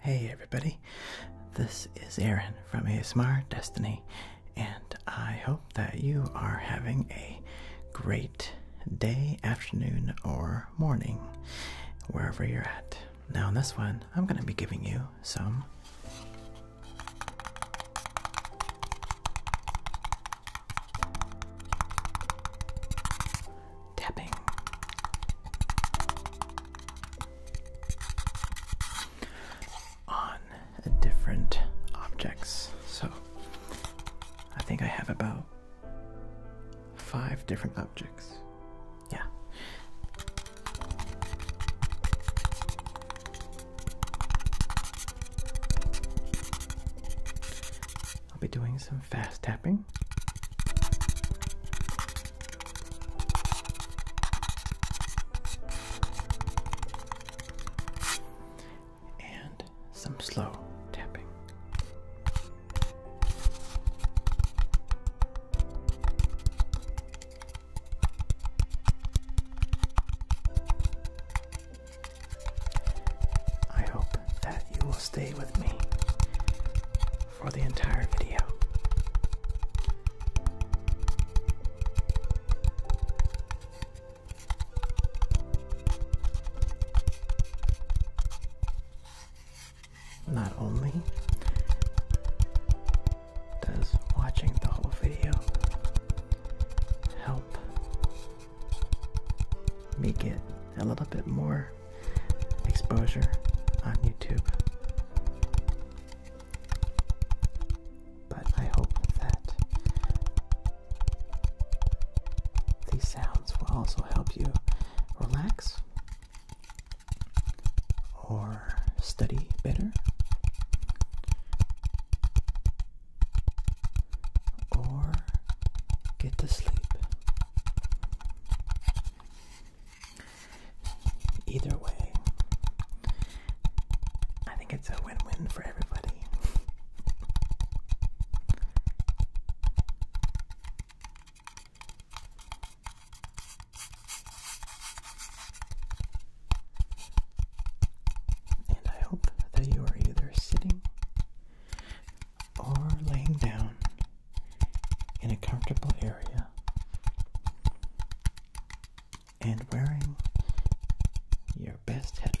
Hey everybody, this is Aaron from ASMR Destiny, and I hope that you are having a great day, afternoon, or morning, wherever you're at. Now, in this one, I'm going to be giving you some tapping. On different objects. So I think I have about five different objects. Yeah. I'll be doing some fast tapping. And some slow tapping. I hope that you will stay with me for the entire video. Not only does watching the whole video help me get a little bit more exposure on YouTube. But I hope that these sounds will also help you relax or study better or get to sleep. Either way, I think it's a win win for everybody. And I hope that you are either sitting or laying down in a comfortable area and wearing your best headphones.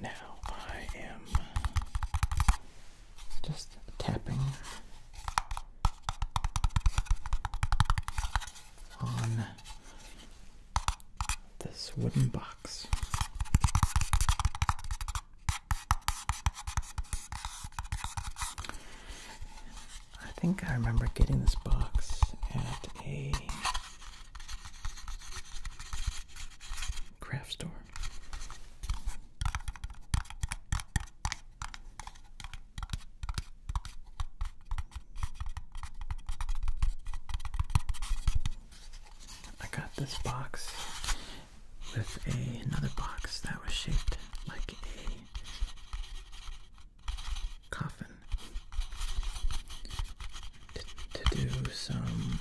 Now I am just tapping on this wooden box. I think I remember getting this box at a craft store. I got this box with a, another box that was shaped like a coffin to, to do some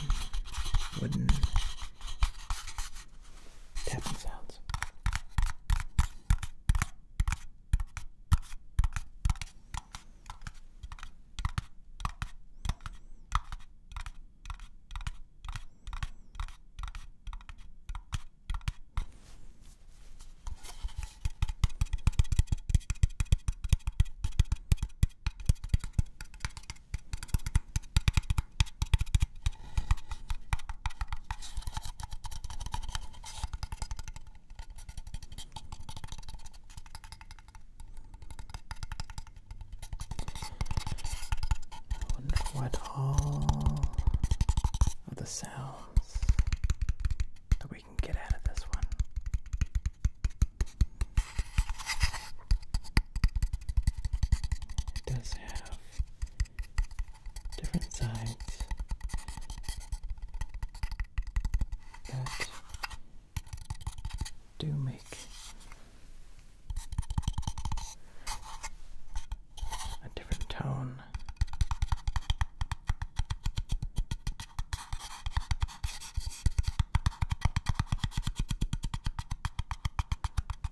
wooden tapping sounds wonder what all of the sounds that we can get out of this one. It does have different sides that do make a different tone.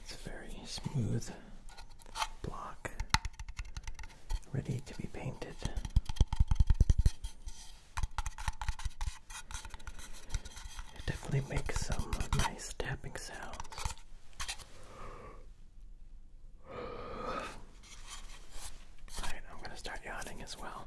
It's a very smooth block ready to be painted. It definitely makes some nice tapping sounds. Alright, I'm gonna start yawning as well.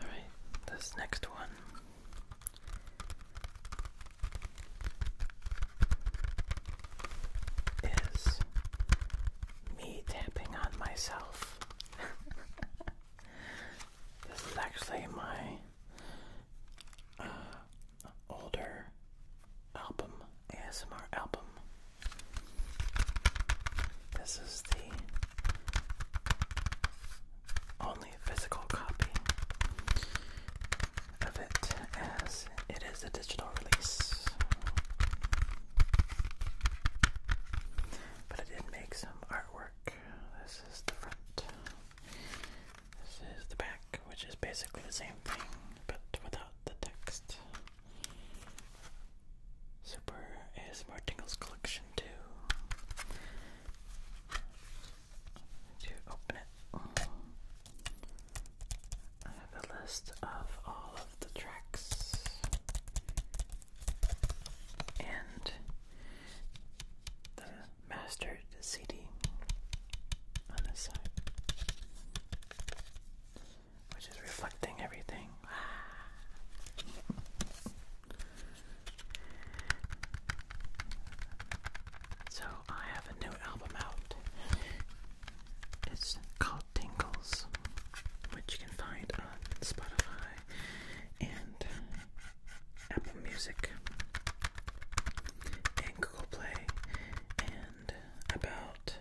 Alright, this next one. Is me tapping on myself. this is actually my uh, older album, ASMR album this is the only physical copy of it as it is a digital release. But I did make some artwork. This is the front. This is the back, which is basically the same thing but without the text. Super is Martingale's Collection too. To open it, I have a list of all of the tracks, and the mastered CD on this side which is reflecting everything. so I have a new album out. It's called Tingles, which you can find on Spotify and Apple Music and Google Play and about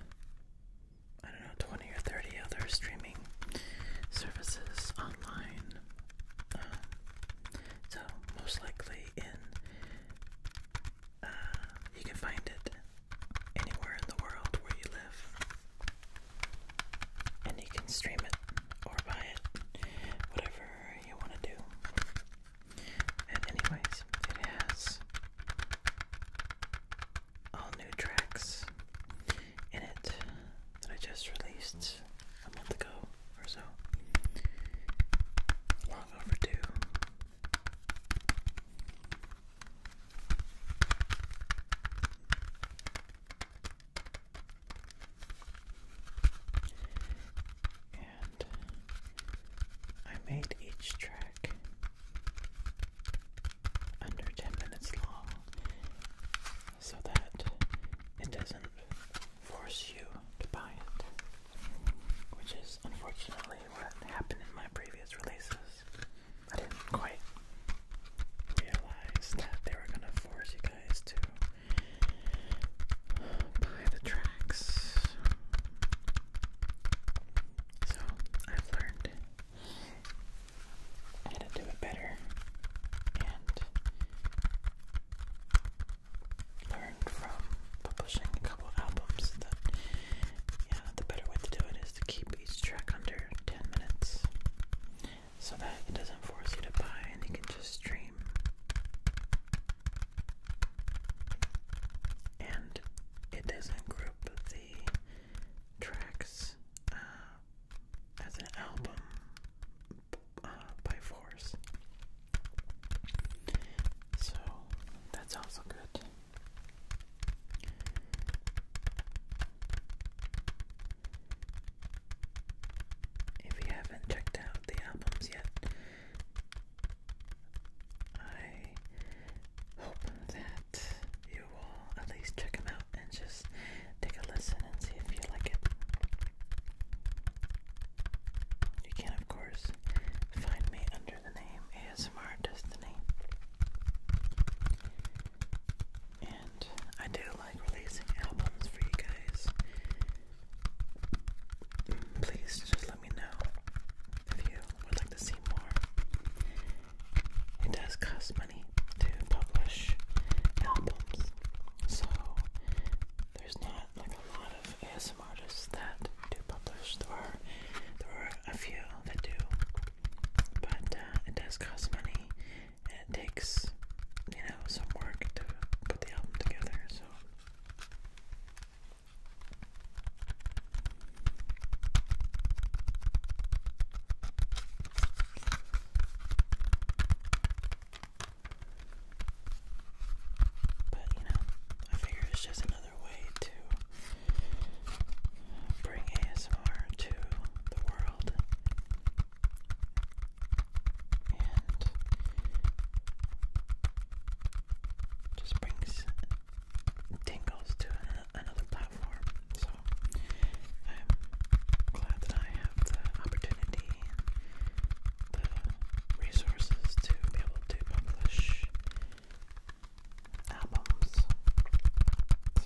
I don't know, 20 or 30 other streaming services online. Um, so, most likely in, uh, you can find it anywhere in the world where you live. And you can stream it or buy it, whatever you want to do. And, anyways, it has all new tracks in it that I just released a month ago or so. Long overdue. And I made each track under 10 minutes long so that it doesn't force you to buy it, which is unfortunately what happened in my previous releases. I didn't quite realize that they were gonna force you guys to buy the tracks. So I've learned how to do it better and learned from publishing a couple albums yeah, the better way to do it is to keep each track under 10 minutes so that it doesn't force you to buy and you can just stream. And it doesn't group the tracks uh, as an album uh, by Force. So that's also good. If you haven't checked out the albums yet, I hoping that you will at least check them out and just take a listen and see if you like it. You can, of course, find me under the name ASMR Destiny. And I do like releasing albums for you guys. Please just let me know if you would like to see more it does cost money to publish albums. So there's not like a lot of ASM artists that do publish. There are there are a few that do. But uh, it does cost money and it takes you know some work to put the album together, so but you know, I figure it's just another way to bring ASMR to the world. And just brings tingles to an another platform. So I'm glad that I have the opportunity and the resources to be able to publish albums. So. I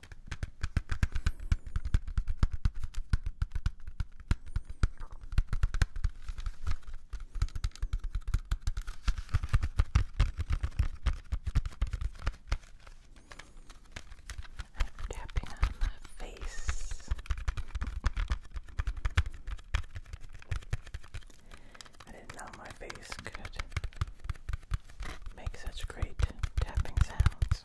I'm tapping on my face. I didn't know my face could make such great tapping sounds.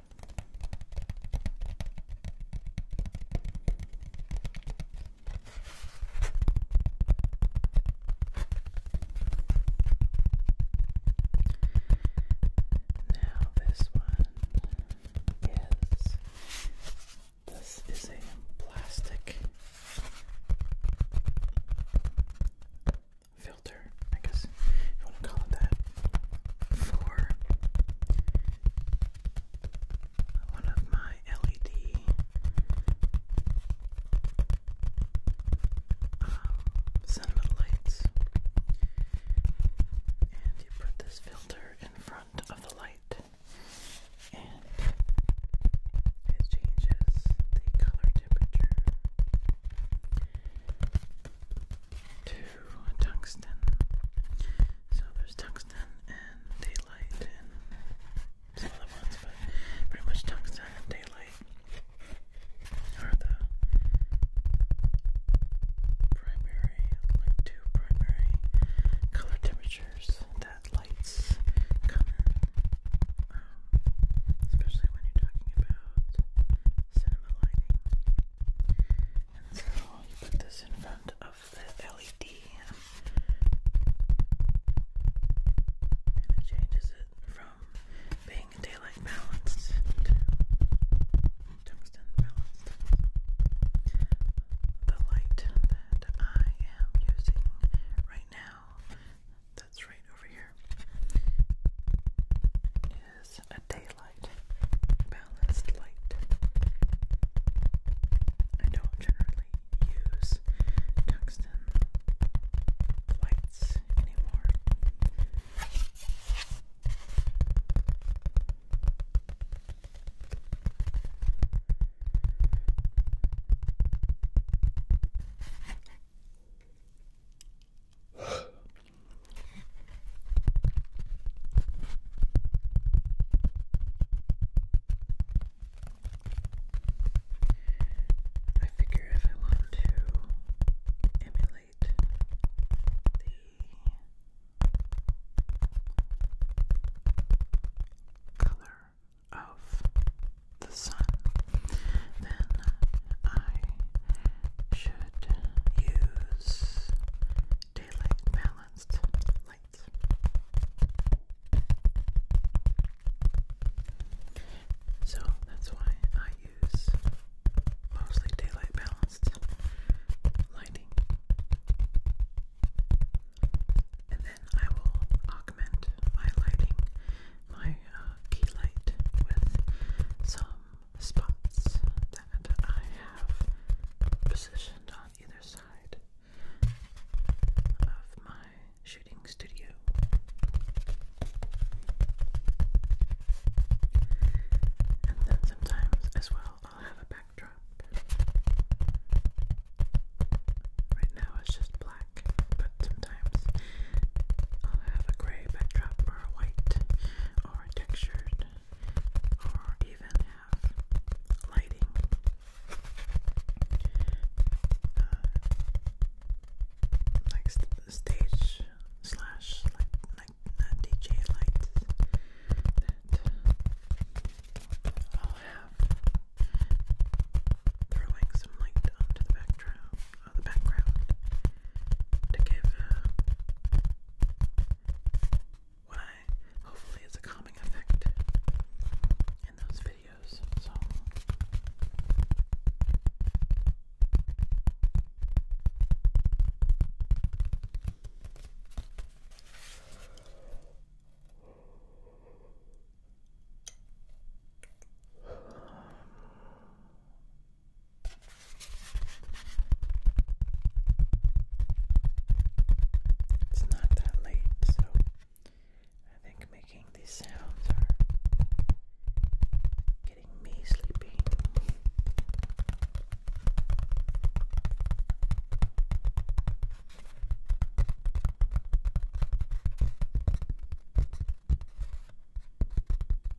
Now, this one is this is a plastic filter. I guess you want to call it that, for one of my LED um, cinnamon lights. And you put this filter in front of the light, and it changes the color temperature to tungsten. So there's tungsten and daylight and some other ones, but pretty much tungsten and daylight are the primary, like two primary color temperatures that lights come in. Um, especially when you're talking about cinema lighting so you put this in front of the LED and it changes it from being daylight balanced to tungsten balanced. The light that I am using right now, that's right over here, is a daylight balanced light. I don't generally use tungsten lights anymore. I figure if I want to emulate the color of the sun, then I should could use daylight balanced lights. So that's why I use mostly daylight balanced lighting. And then I will augment my lighting, my uh, key light, with some spots that I have positioned on either side of my shooting studio. And then sometimes as well, I'll have a backdrop. Right now it's just black, but sometimes I'll have a gray backdrop or white or textured or even have lighting. Uh, like stage slash like like uh, DJ lights that I'll have throwing some light onto the background, uh, the background to give uh, when I hopefully it's a calming effect in those videos. So it's not that late, so I think making these sounds are getting me sleepy.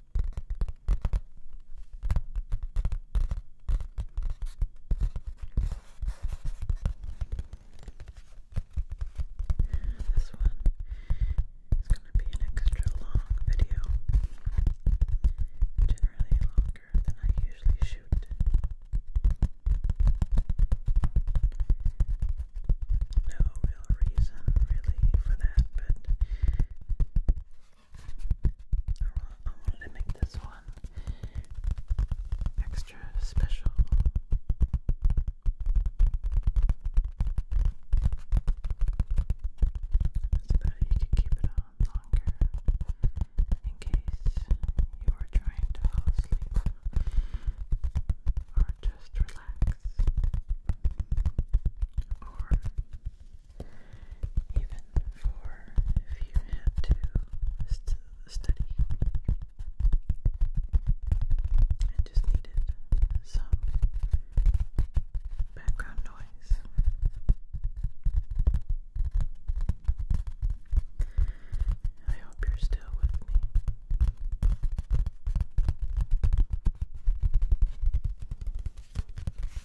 This one is going to be an extra long video, generally longer than I usually shoot. No real reason, really, for that, but I wanted to make this one extra special. So that you could keep it on longer in case you are trying to fall asleep or just relax or even for if you had to study and just needed some background noise. I hope you're still with me.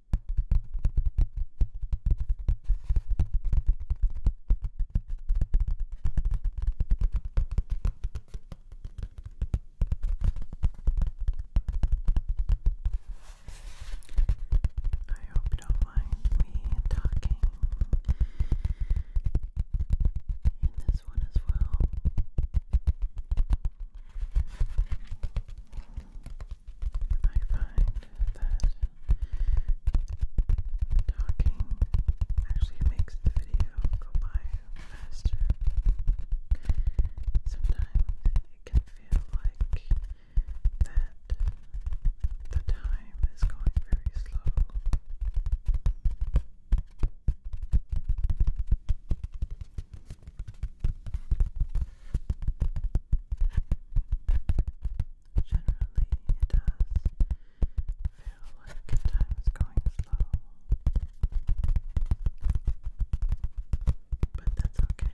I hope you don't mind me talking in this one as well. I find that talking actually makes the video go by faster. Sometimes it can feel like that the time is going very slow. Generally, it does feel like time is going slow. But that's okay.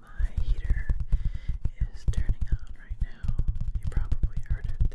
My heater is turning on right now. You probably heard it.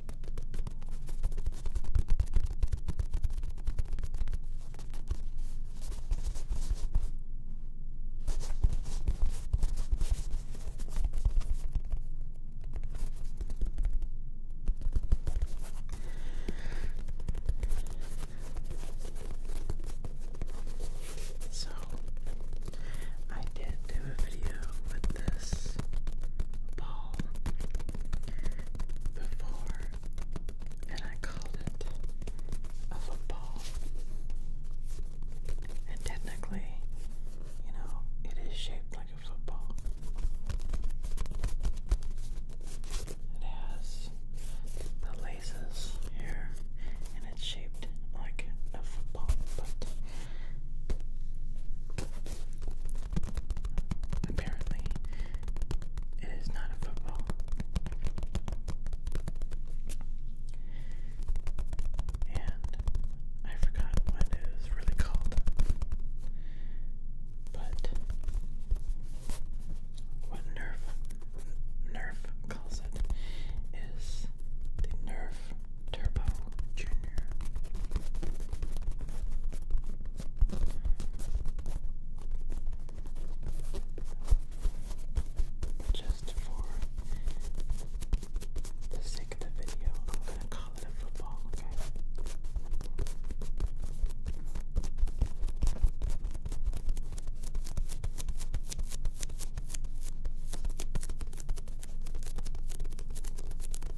So I did a video with this ball before, and I called it a football. And technically, you know, it is shaped like a football. It has the laces here, and it's shaped like a football, but Apparently, it is not a football. And I forgot what it is really called. But what Nerf Nerf calls it is the Nerf Turbo Jr. Just for the sake of the video, I'm gonna call it a football, okay?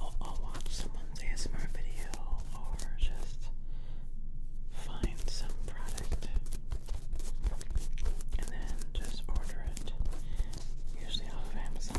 I'll, watch someone's ASMR video or just find some product and then just order it, usually off of Amazon.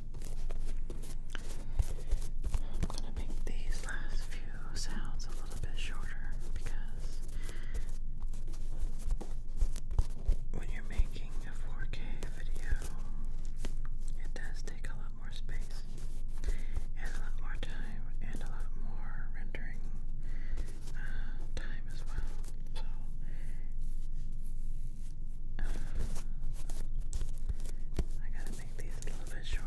I'm gonna make these last few sounds a little bit shorter because when you're making a 4K video, it does take a lot more space and a lot more time and a lot more rendering uh, time as well. So I gotta make these a little bit shorter.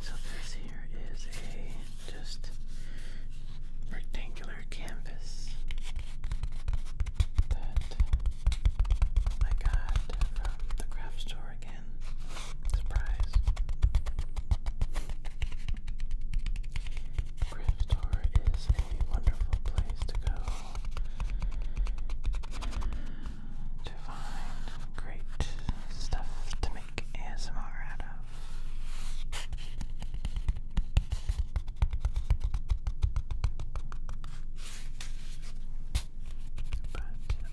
So this here is a just rectangular canvas I got from the craft store again. Surprise. Craft store is a wonderful place to go to find great stuff to make ASMR out of but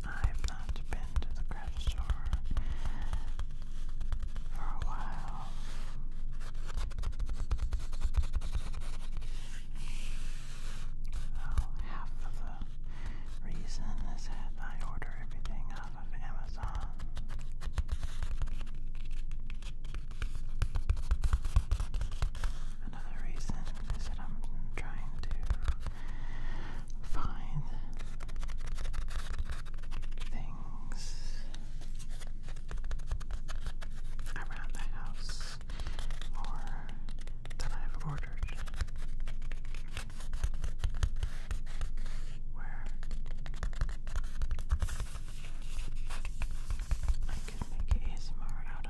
I've not been to the craft store for a while. half of the reason is that I order everything off of Amazon. Another reason is that I'm trying to find things around the house or that I've ordered where I could make ASMR out of.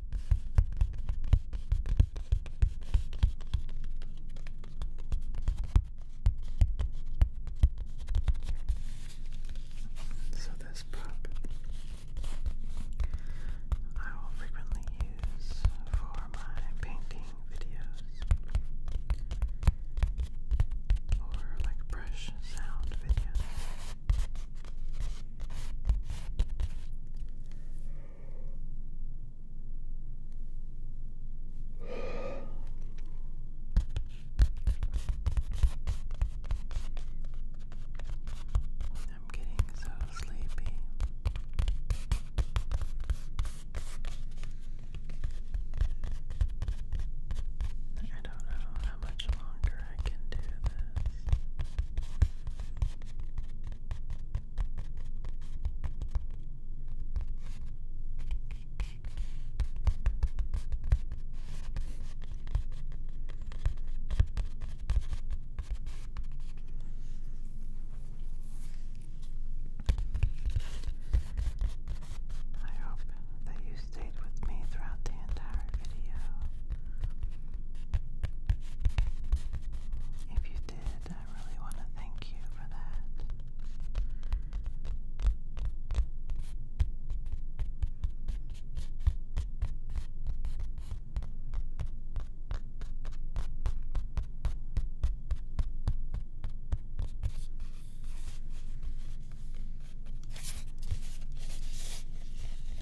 So, this prop I will frequently use for my painting videos or like brush sound videos. I'm getting so sleepy. I don't know how much longer I can do this. I hope that you stayed with me throughout the entire video. If you I really want to thank you for that.